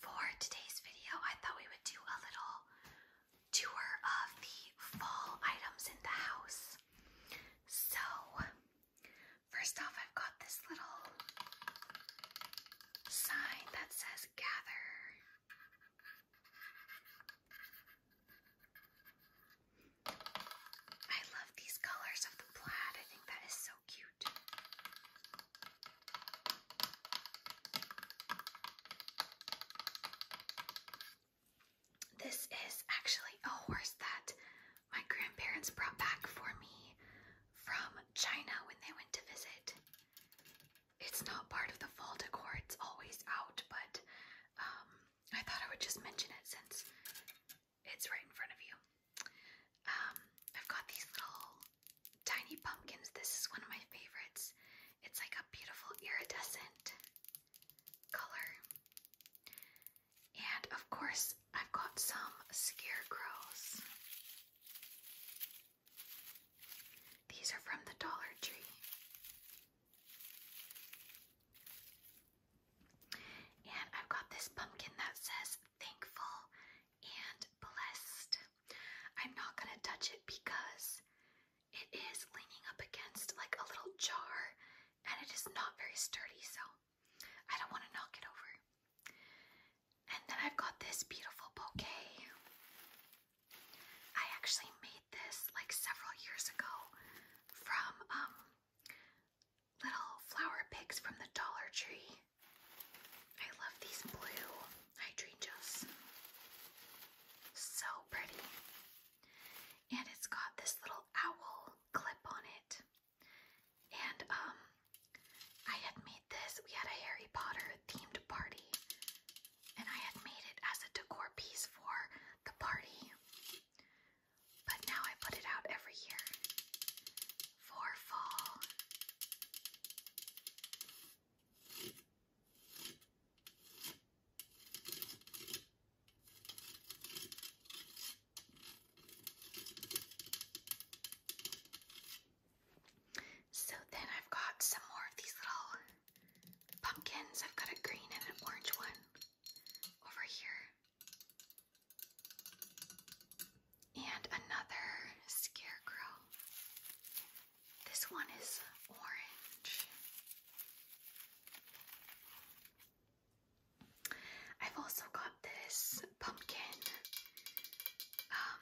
For today's video, I thought we would do a little tour of the fall items in the house. So, first off, I've got this little sign that says gather. I love these colors of the plaid. I think that is this is actually a horse that my grandparents brought back for me from China when they went to visit. It's not part of the fall decor, it's always out, but um, I thought I would just mention it since it's right in front of you. Um, I've got these little tiny pumpkins. This is one of my favorites. It's like a beautiful iridescent color. And of course, I've got some scarecrows. These are from the Dollar Tree. And I've got this pumpkin that says thankful and blessed. I'm not going to touch it because it is leaning up against like a little jar and it is not very sturdy, so I don't want to knock it over. And then I've got this beautiful bouquet. I actually made this like several years ago from um little flower picks from the Dollar Tree. I love these blue hydrangeas. So pretty. And it's got this little owl clip on it. And um I had made this. We had a Harry Potter themed party. And I had made it as a decor piece for the party. But now I put it out every year for fall. So then I've got some more of these little pumpkins. I've got a green and an orange one over here. And another scarecrow. This one is orange. I've also got this pumpkin. Um,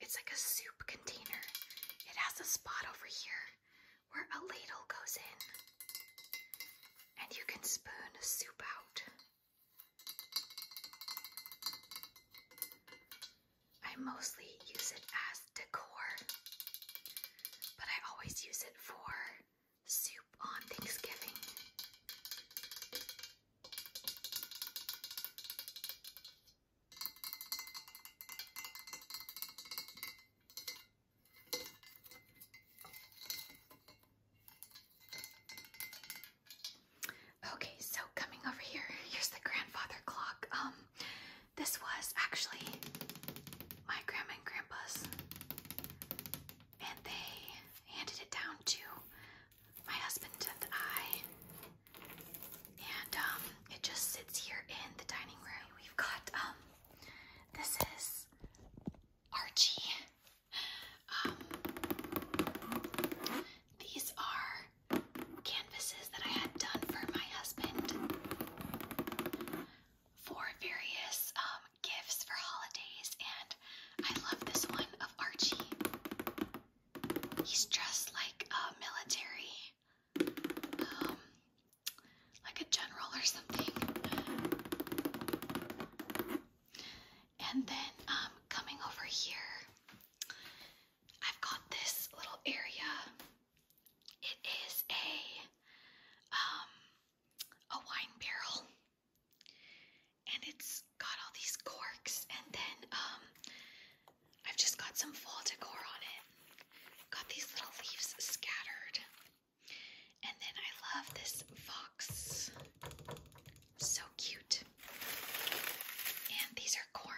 it's like a soup container. It has a spot over here where a ladle goes in, and you can spoon soup out. I mostly use it as decor, but I always use it for soup on Thanksgiving. Okay, so coming over here, here's the grandfather clock. Um, this was actually my grandma and grandpa's, and they handed it down to my husband and I. And um, it just sits here in the dining room. We've got um, this is Archie um, these are canvases that I had done for my husband for various um, gifts for holidays, and I love this one of Archie. He's dressed like a military um, like a general or something. And then um, coming over here, I've got this little area. It is a um, a wine barrel, and it's got all these corks. And then um, I've just got some fall decor on it. Got these little leaves scattered. And then I love this fox. So cute. And these are corn.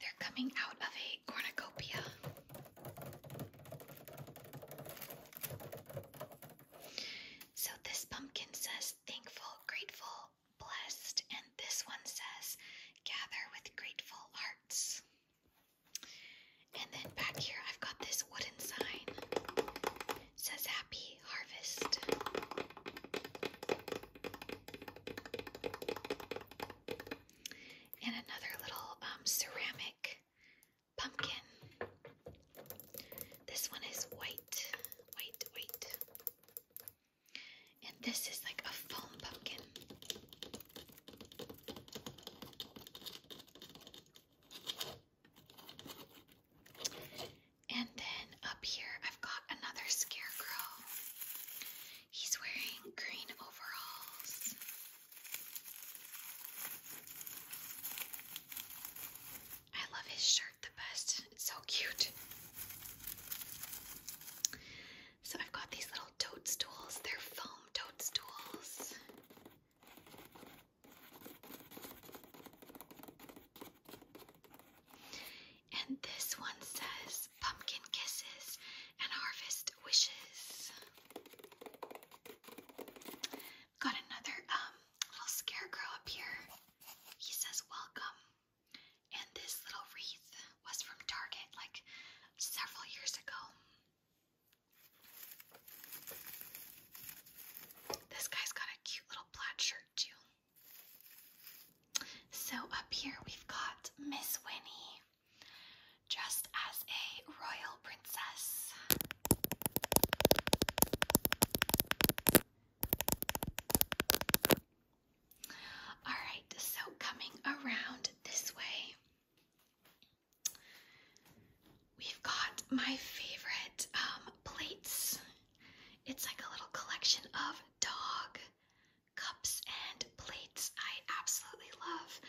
They're coming out of a cornucopia. So this pumpkin says thankful, grateful, blessed, and this one says gather with grateful hearts. And then back here, I've got this wooden sign. says happy harvest. And another little um, ceramic pumpkin. This one is white, white, white. And this is like a foam pumpkin. And then up here, I've got another scarecrow. He's wearing green overalls I love his shirt the best. It's so cute. So I've got these little toadstools. They're foam toadstools. And this one says pumpkin kisses and harvest wishes. Got another um, little scarecrow up here. He says welcome. And this little wreath was from Target like several years ago. This guy's got a cute little plaid shirt too. So up here we've got Miss Winnie. Just as a royal princess. Alright, so coming around this way, we've got my favorite um, plates. It's like a little collection of dog cups and plates I absolutely love.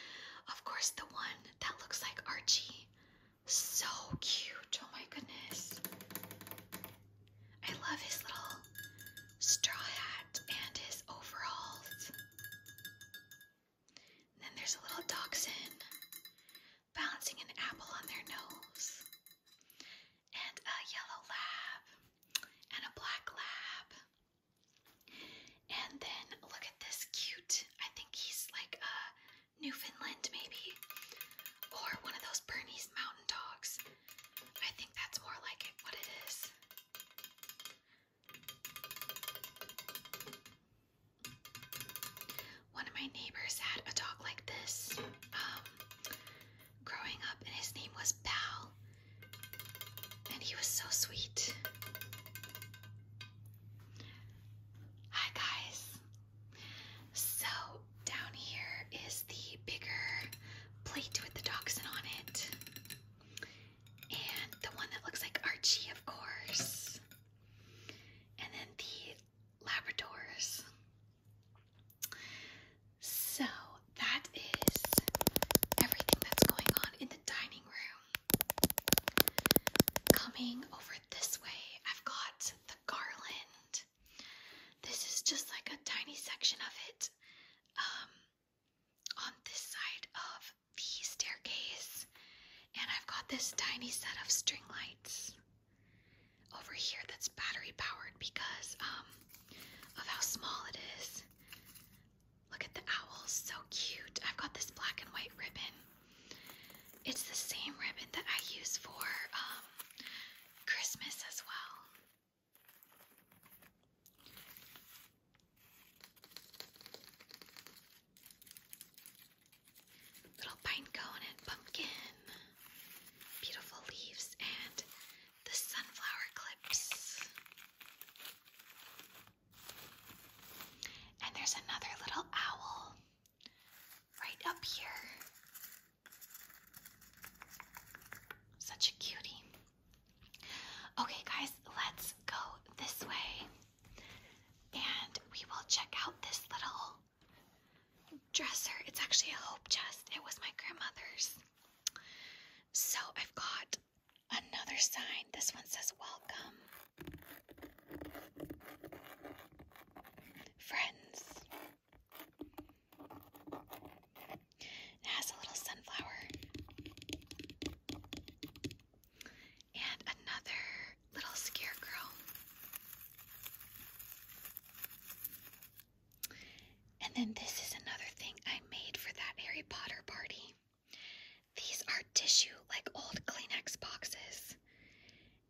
Of course, the one that looks like Archie. So cute. Oh my goodness. I love his little straw hat and his overalls. And then there's a little dachshund balancing an apple on their nose, and a yellow lab, and a black lab, and then look at this cute, I think he's like a uh, Newfoundland maybe, or one of those Bernese mountain dogs. I think that's more like it, what it is. One of my neighbors had a dog like this um, growing up, and his name was Pal. And he was so sweet. Hi, guys. So, down here is the bigger plate with the dachshund on it. And the one that looks like Archie, of course. And then the Labradors. So, that is everything that's going on in the dining room. Coming over this way, I've got the garland. This is just like a tiny section of it um, on this side of the staircase. And I've got this tiny set of string lights over here that's battery powered because um, of how small it is. Look at the owl, so cute. I've got this black and white ribbon. It's the same ribbon that I use for um, Christmas as well. Little pinecone and pumpkin. Beautiful leaves and the sunflower clips. And there's another little owl right up here. Such a cutie. Okay, guys, let's go this way and we will check out this little dresser. It's actually a hope chest, it was my grandmother's. So I've got another sign. This one says welcome. Friends. It has a little sunflower. And another little scarecrow. And then this is another thing I made for that Harry Potter party. These are tissue, like old Kleenex boxes.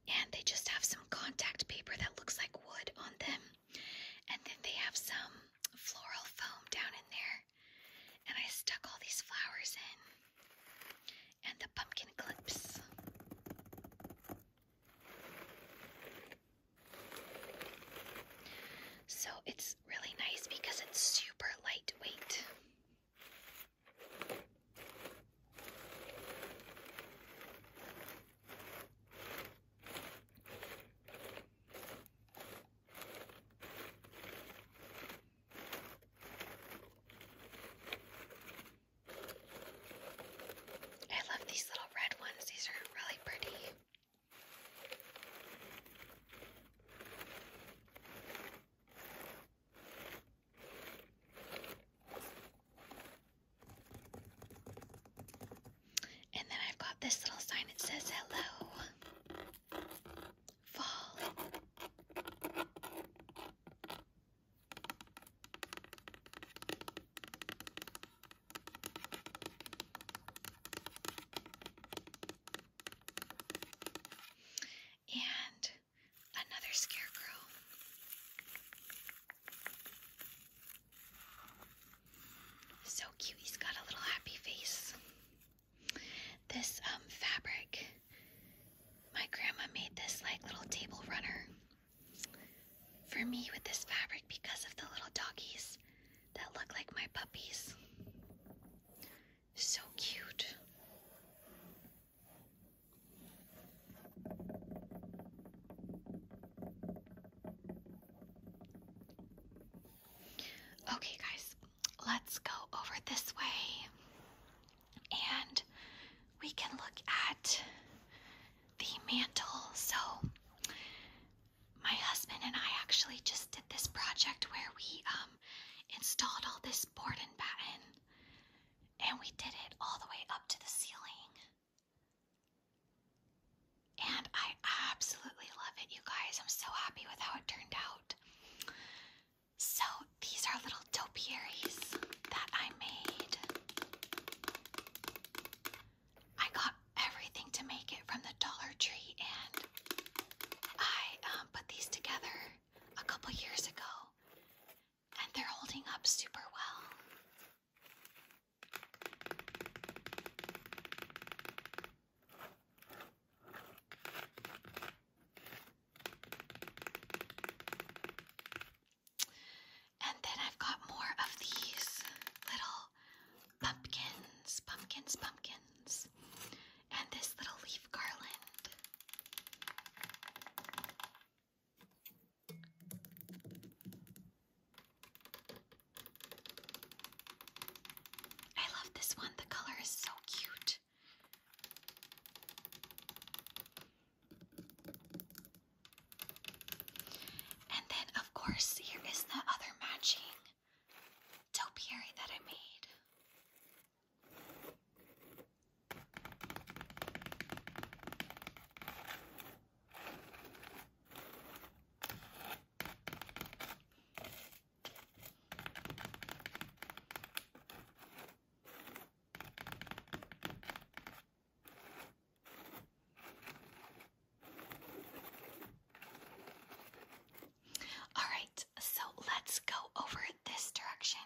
And they just have some contact paper that looks like wood on them. And then they have some floral foam down in there. And I stuck all these flowers in. And the pumpkin clips. So it's really nice because it's super lightweight. I love these little red ones. These are really pretty. And then I've got this little sign that says hello. Fall. And another scarecrow. So cute, he's got a little happy face. This um, fabric, my grandma made this like little table runner for me with this fabric because of the little doggies that look like my puppies. So cute. Okay, guys, let's go over this way and we can look at the mantle. So, my husband and I actually just did this project where we um installed all this board and batten and we did it all the way up to the ceiling. And I absolutely love it, you guys. I'm so happy with how it turned out. So, these are little topiaries that I made. I got everything to make it from the Dollar Tree, and I um, put these together a couple years ago, and they're holding up super well. And then I've got more of these little pumpkins, pumpkins, pumpkins, and this little leaf garland. I love this one, the color is so cute. And then, of course, here is the other matching topiary that I made. All right, so let's go over this direction.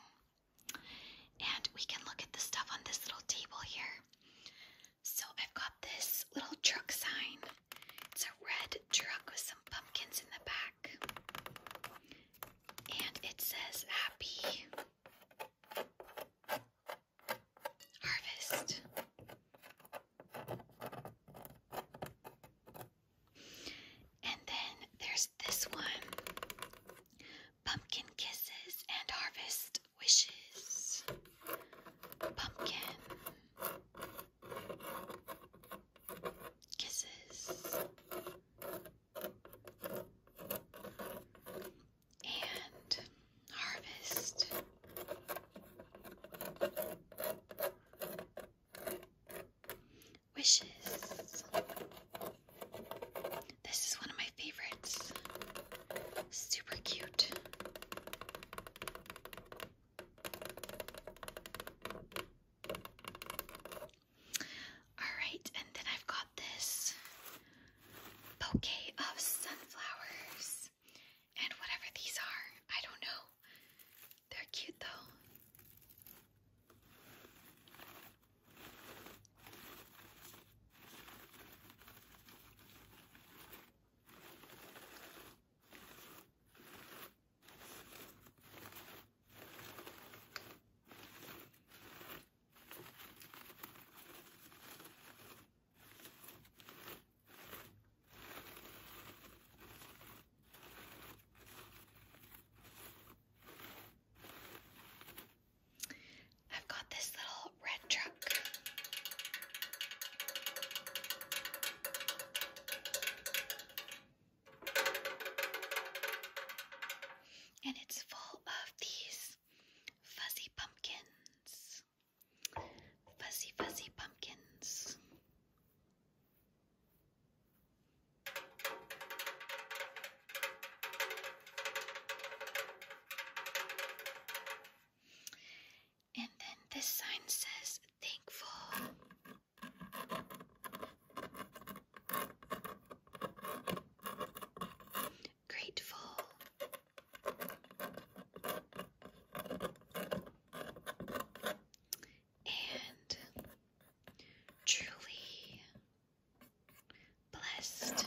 And we can look at the stuff on this little table here. So I've got this little truck sign. It's a red truck with some pumpkins in the back. And it says happy Harvest. And then there's this one Pumpkin Kisses and Harvest Wishes. Pumpkin Kisses and harvest. Wishes. This is one of my favorites. Super cute. All right, and then I've got this bouquet of sunflowers and whatever these are. I don't know. They're cute though. I've got this little red truck. And it's full of these Fuzzy pumpkins. Fuzzy, fuzzy pumpkins. And then this sign says, Thankful grateful. And truly blessed.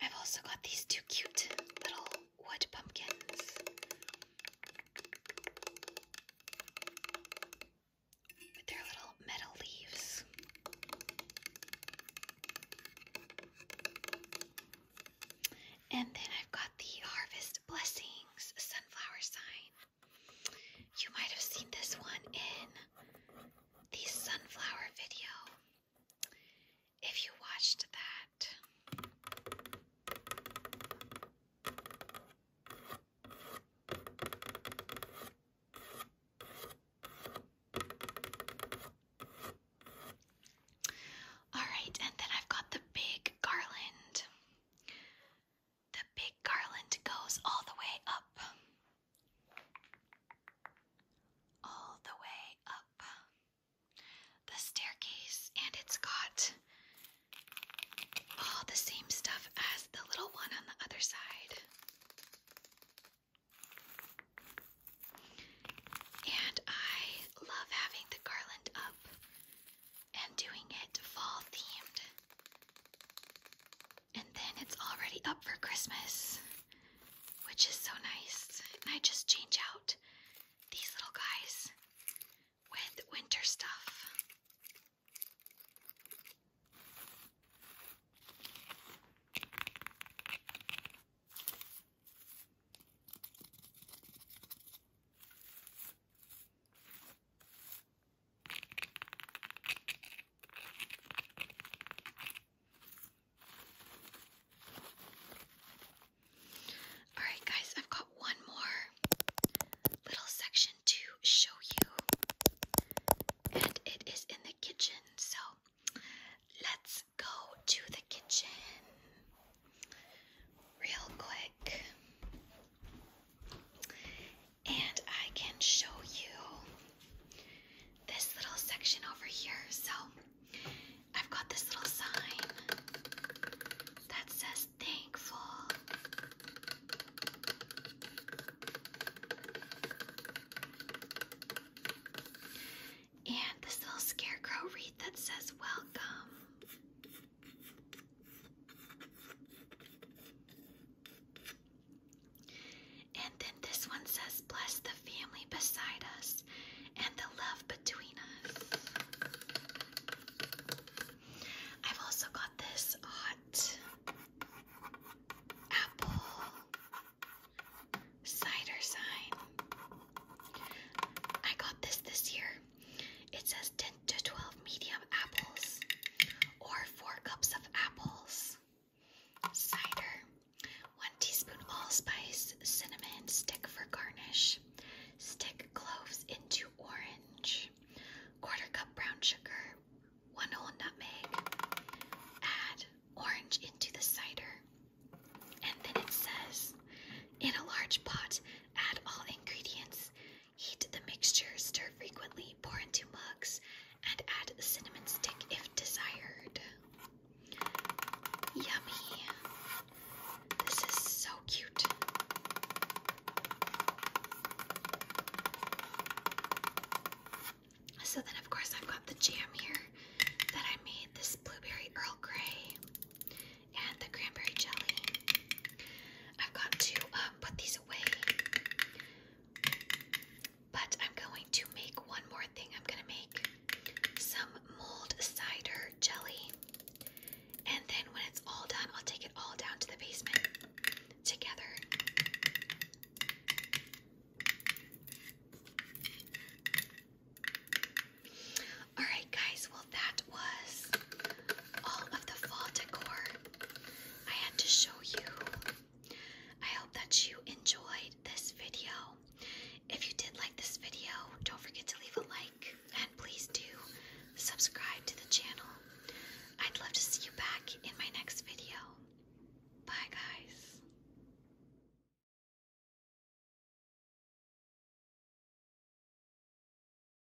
I've also got these two cute little wood pumpkins with their little metal leaves. And then I've got the Harvest Blessings sunflower sign you might have seen this one in the sunflower video. If you watched that, all right, and then I've got the big garland. The big garland goes all the way up. All the way up. The staircase, and it's got all the same stuff as the little one on the other side. And I love having the garland up and doing it fall themed. And then it's already up for Christmas, which is so nice. And I just change out these little guys with winter stuff. Alright, guys, I've got one more little section to show you, and it is in the kitchen. So let's go to the kitchen real quick. And I can show you this little section over here. So I've got this little sign that says thankful. And this little scarecrow wreath that says welcome. And then this one says, Bless the family beside us and the love between us. I've also got this hot apple cider sign. I got this this year. It says to 12 medium apples or 4 cups of apples. Cider, 1 teaspoon allspice, cinnamon stick for garnish. Stick cloves into orange. Quarter cup brown sugar, 1 whole nutmeg. Add orange into the cider. And then it says, in a large pot, add all ingredients Heat the mixture, stir frequently, pour into mugs, and add cinnamon stick if desired. Yummy! This is so cute. So then, of course, I've got the jam here that I made this blueberry Earl Grey and the cranberry jelly. I've got to uh, put these away. But I'm going to make one more thing. I'm going to make some mold cider jelly. And then when it's all done, I'll take it all down to the basement together. Alright, guys, well, that was all of the fall decor I had to show you. I hope that you enjoyed this video. If you did like this video, don't forget to leave a like and please do subscribe to the channel. I'd love to see you back in my next video. Bye, guys.